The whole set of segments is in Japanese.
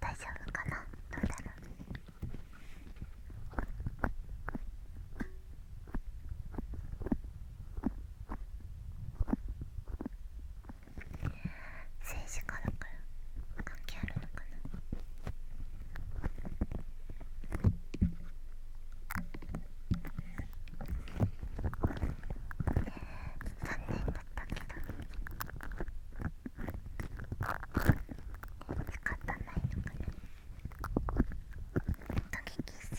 大丈夫かなどうだ政治家だから関係あるのかな残念だったけど仕たないのかなドキキスド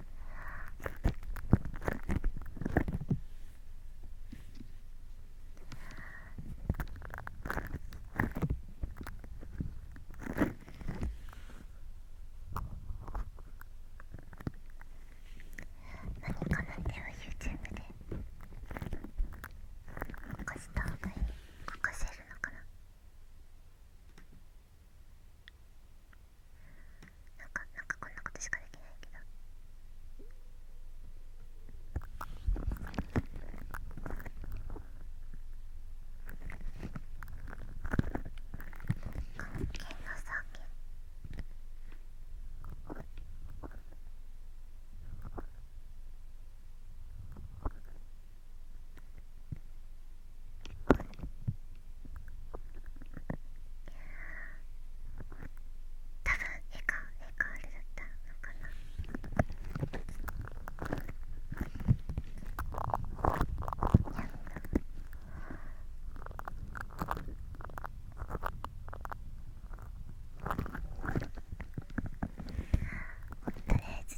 何かなんては YouTube でこかしと方がいいこかせるのかななかなかこんなことしかできないけど関係なさげあ多分絵か絵かあれだったのかなやったとりあえず。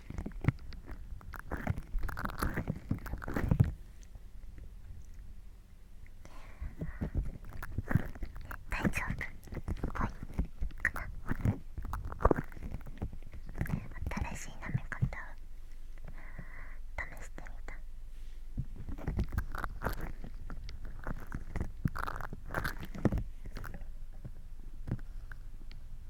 大丈夫ぽいかな新しい舐め方を試してみた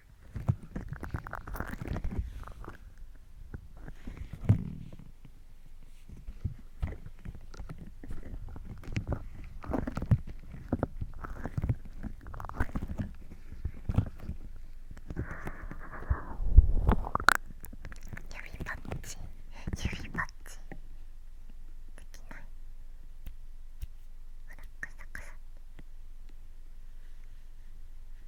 指パッチ指パッチほらカサカサ。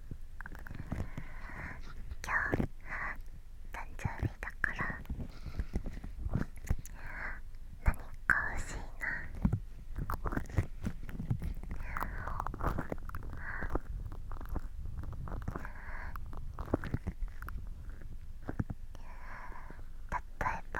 今日誕生日だから何か欲しいな例えば。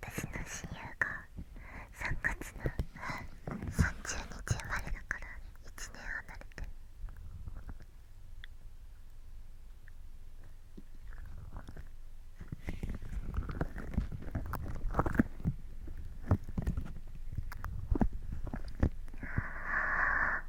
私の親友が3月の30日生まれだから1年離れてあ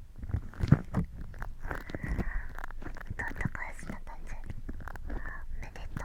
ん返すな誕生日おめでとう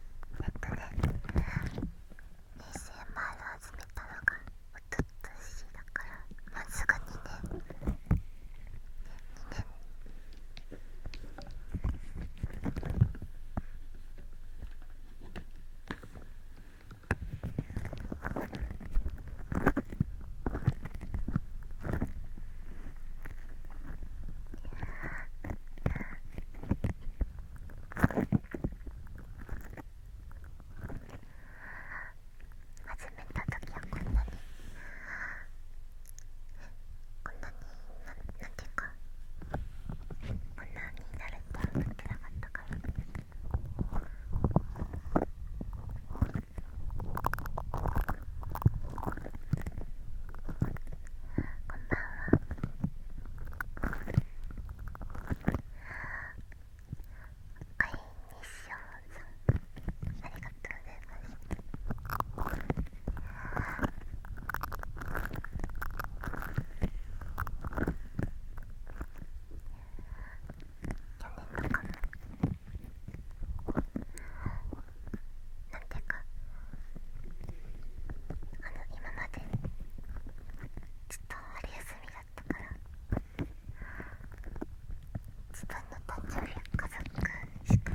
なんかね2000始めたのがおととしだからまうすぐ2年、ね、2年なん始めた時はこんなにこんなになんていうかこんなになれとは思ってなかったから。こんばんははい西尾さんありがとうございます去年のかななんていうかあの今までちょっと春休みだったから自分の誕生日家族しか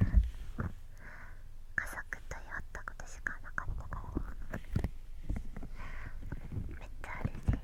家族と会ったことしかなかったからめっちゃあれで。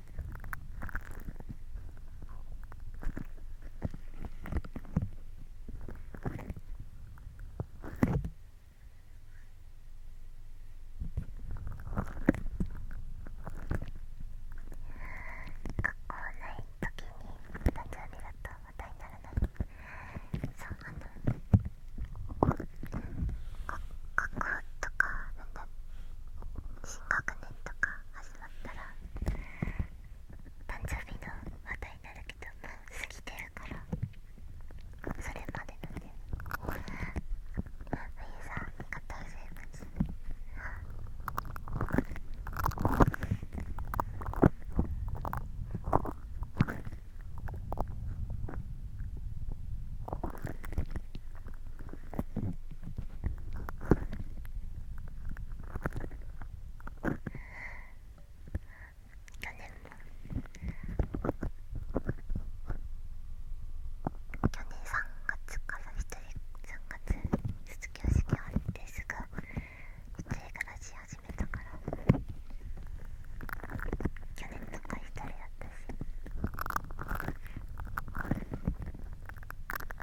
学校ない時に誕生日だと話題にならないそうあの学校とかなんだ新学年とか始まったら誕生日の話題になるけどもう過ぎてるからそれまでなんであゆさんありがとうございます去年も去年3月から1人3月卒業式あわってすぐ1人暮らし始めたから去年とか1人だったし。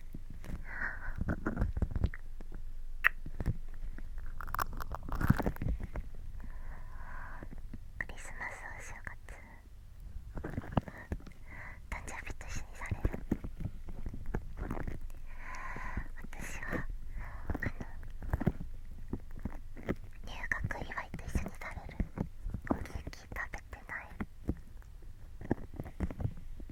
クリスマスお正月誕生日と一緒にされる私はあの入学祝いと一緒にされるお元気食べてない次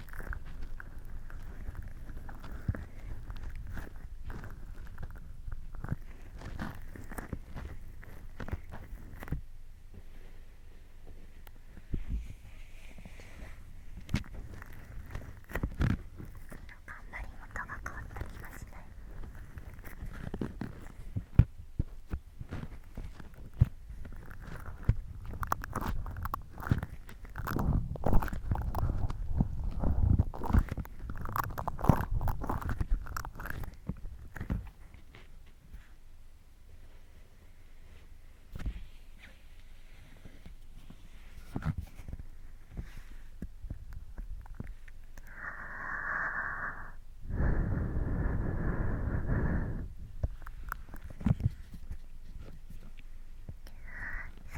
あんまり音が変わった気がしない。そう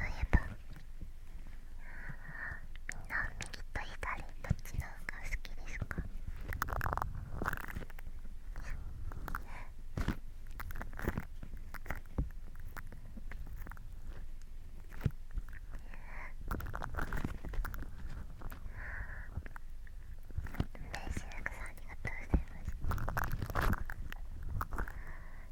いえばみんな右と左どっちの方が好きですかレイシルクさんありがとうございます。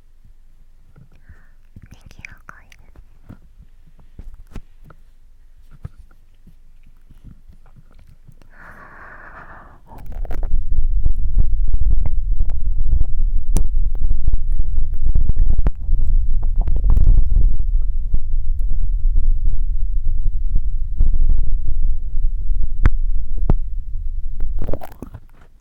にぎやかい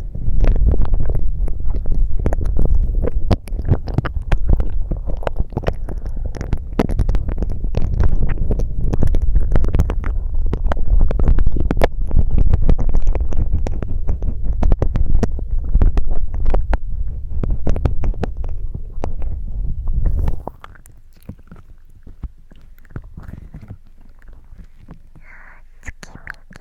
月見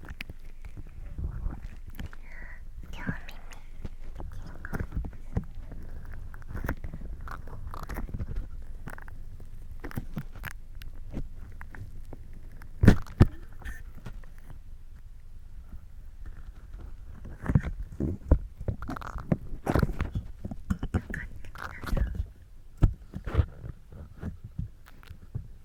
両耳耳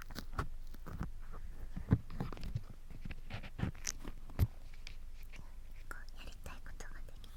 こうやりたいことができた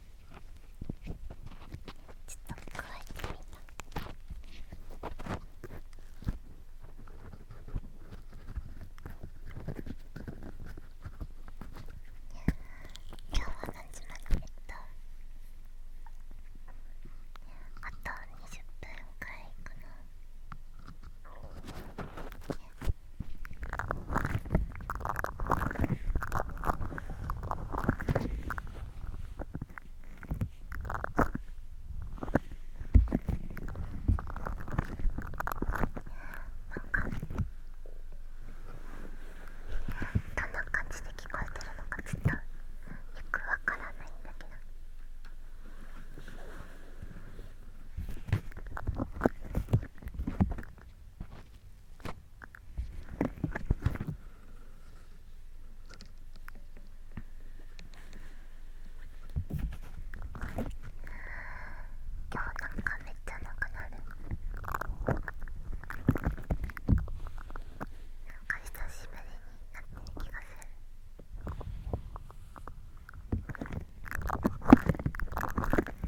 ちょっと加えてみた今日は何時までえっとあと20分くらいかなどんな感じで聞こえてるのかちょっとよくわからないんだけど。今日なんかめっちゃなくなるなんか久しぶりになってる気がする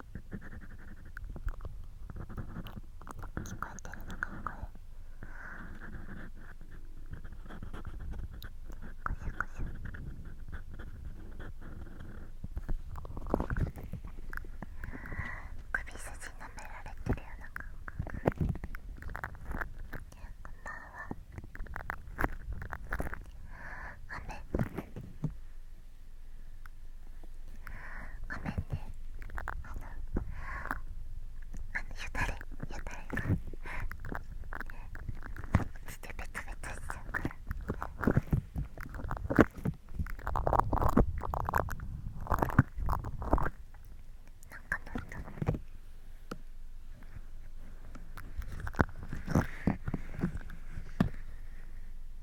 聞こえてるのかなこれこしょこしょ首筋舐められてるような感覚こんばんはごめんねあのあのゆだれゆだれが落ちてベタベタしちゃうから。なんかなんだろうね。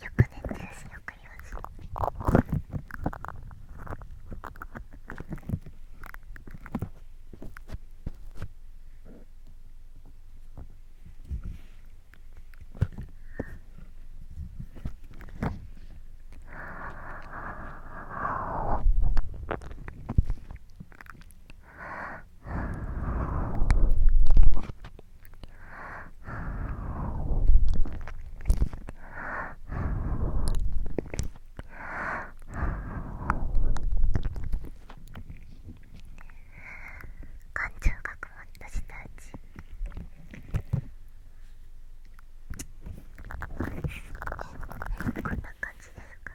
よく寝てるしよく言わそう感情がこもった下打ちこんな感じですか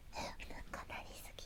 かなり好き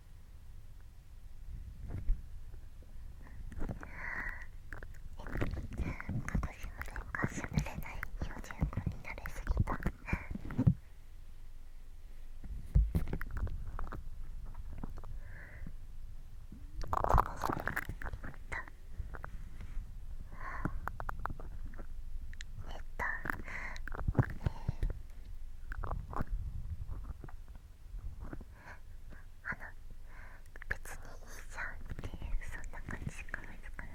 私はなんかしゃべれない標準語になれすぎたえっとえー、あの別にいいじゃんってそんな感じしかないですから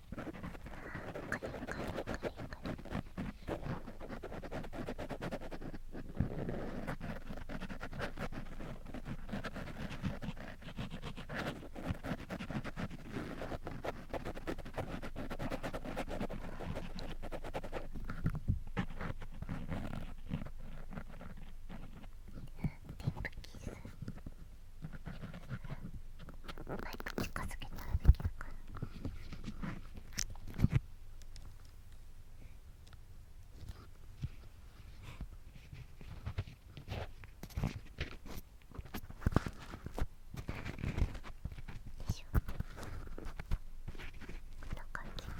テープキス。もっと近づけたらできるかな。でしょこんな感じかな。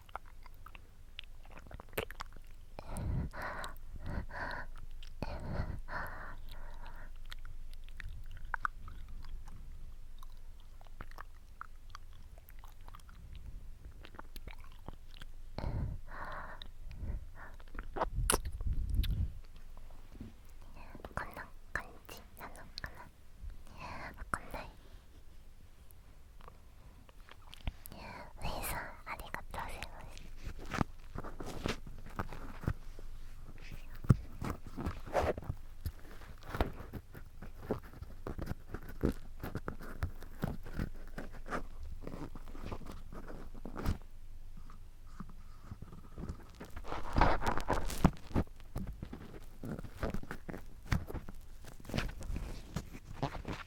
こんな感じなのかなわかんない。ウェイさんありがとうございます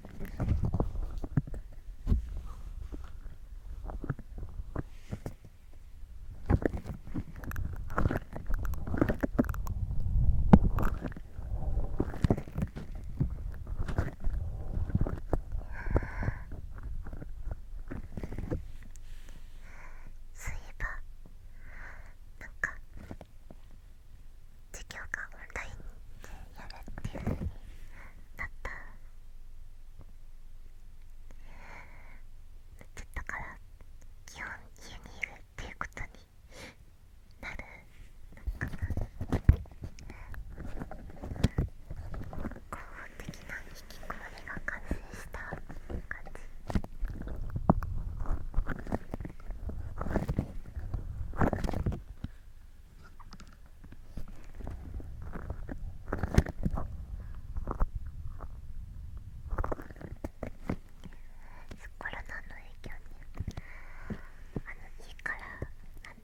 そういえばなか授業がオンラインでやるっていうだったなっちったから基本家にいるっていうことになるのかな合法的な引きこもりが完成した感じコロナの影響にあの家から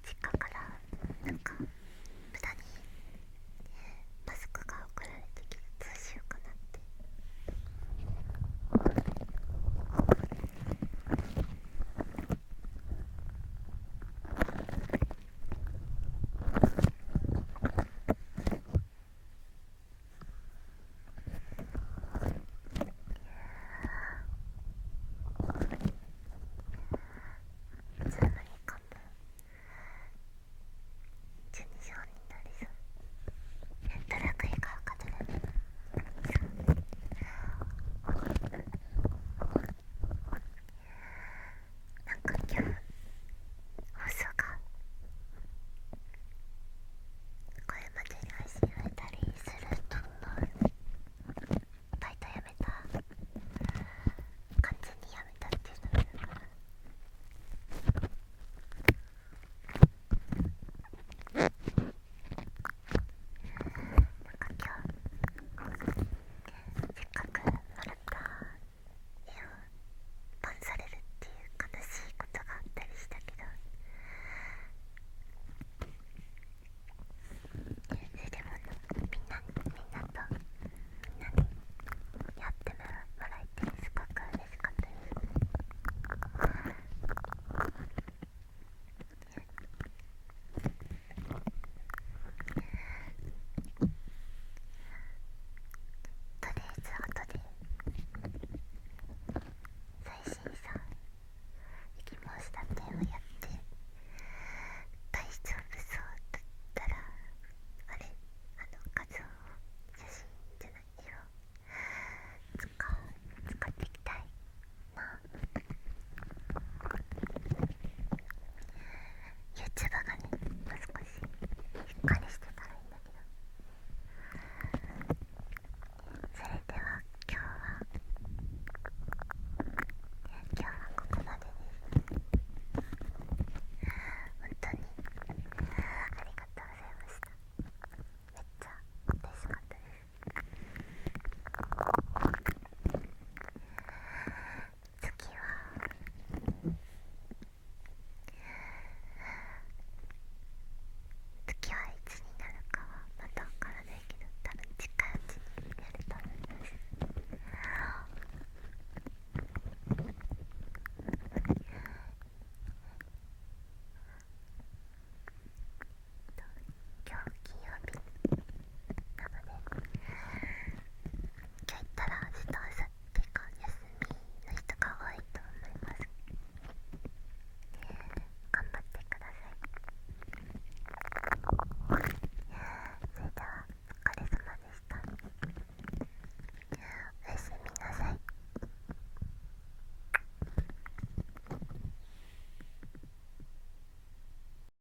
実家からなんか無駄にマスクが送られてきてどうしようかなって。つまりかも12商人なりさドラクエ買うかとね。なんか今日放送がこれまでに配信されたりすると思うバイトやめた完全にやめたっていうのがなんか今日せっかくもらった絵をバンされるっていう悲しいことがあったりしたけどでもみんなみんなとみんなにやってもらえてすごく嬉しかったです。とりあえず後で最新さん「行きました」みをやって大丈夫そうだったらあれあの画像写真じゃない色を使っていきたいなユーチューバーがねもう少ししっかりしてたらいいんだけどそれでは今日は今日はここまでです本当にありがとうございましためっちゃ嬉しかったです次は次はいつになるかはまだ分からないけど多分近いうちにれると思います今日金曜日なので今日行ったら明日明後日か休みの人が多いと思います頑張ってくださいそれではお疲れ様でしたおやすみなさい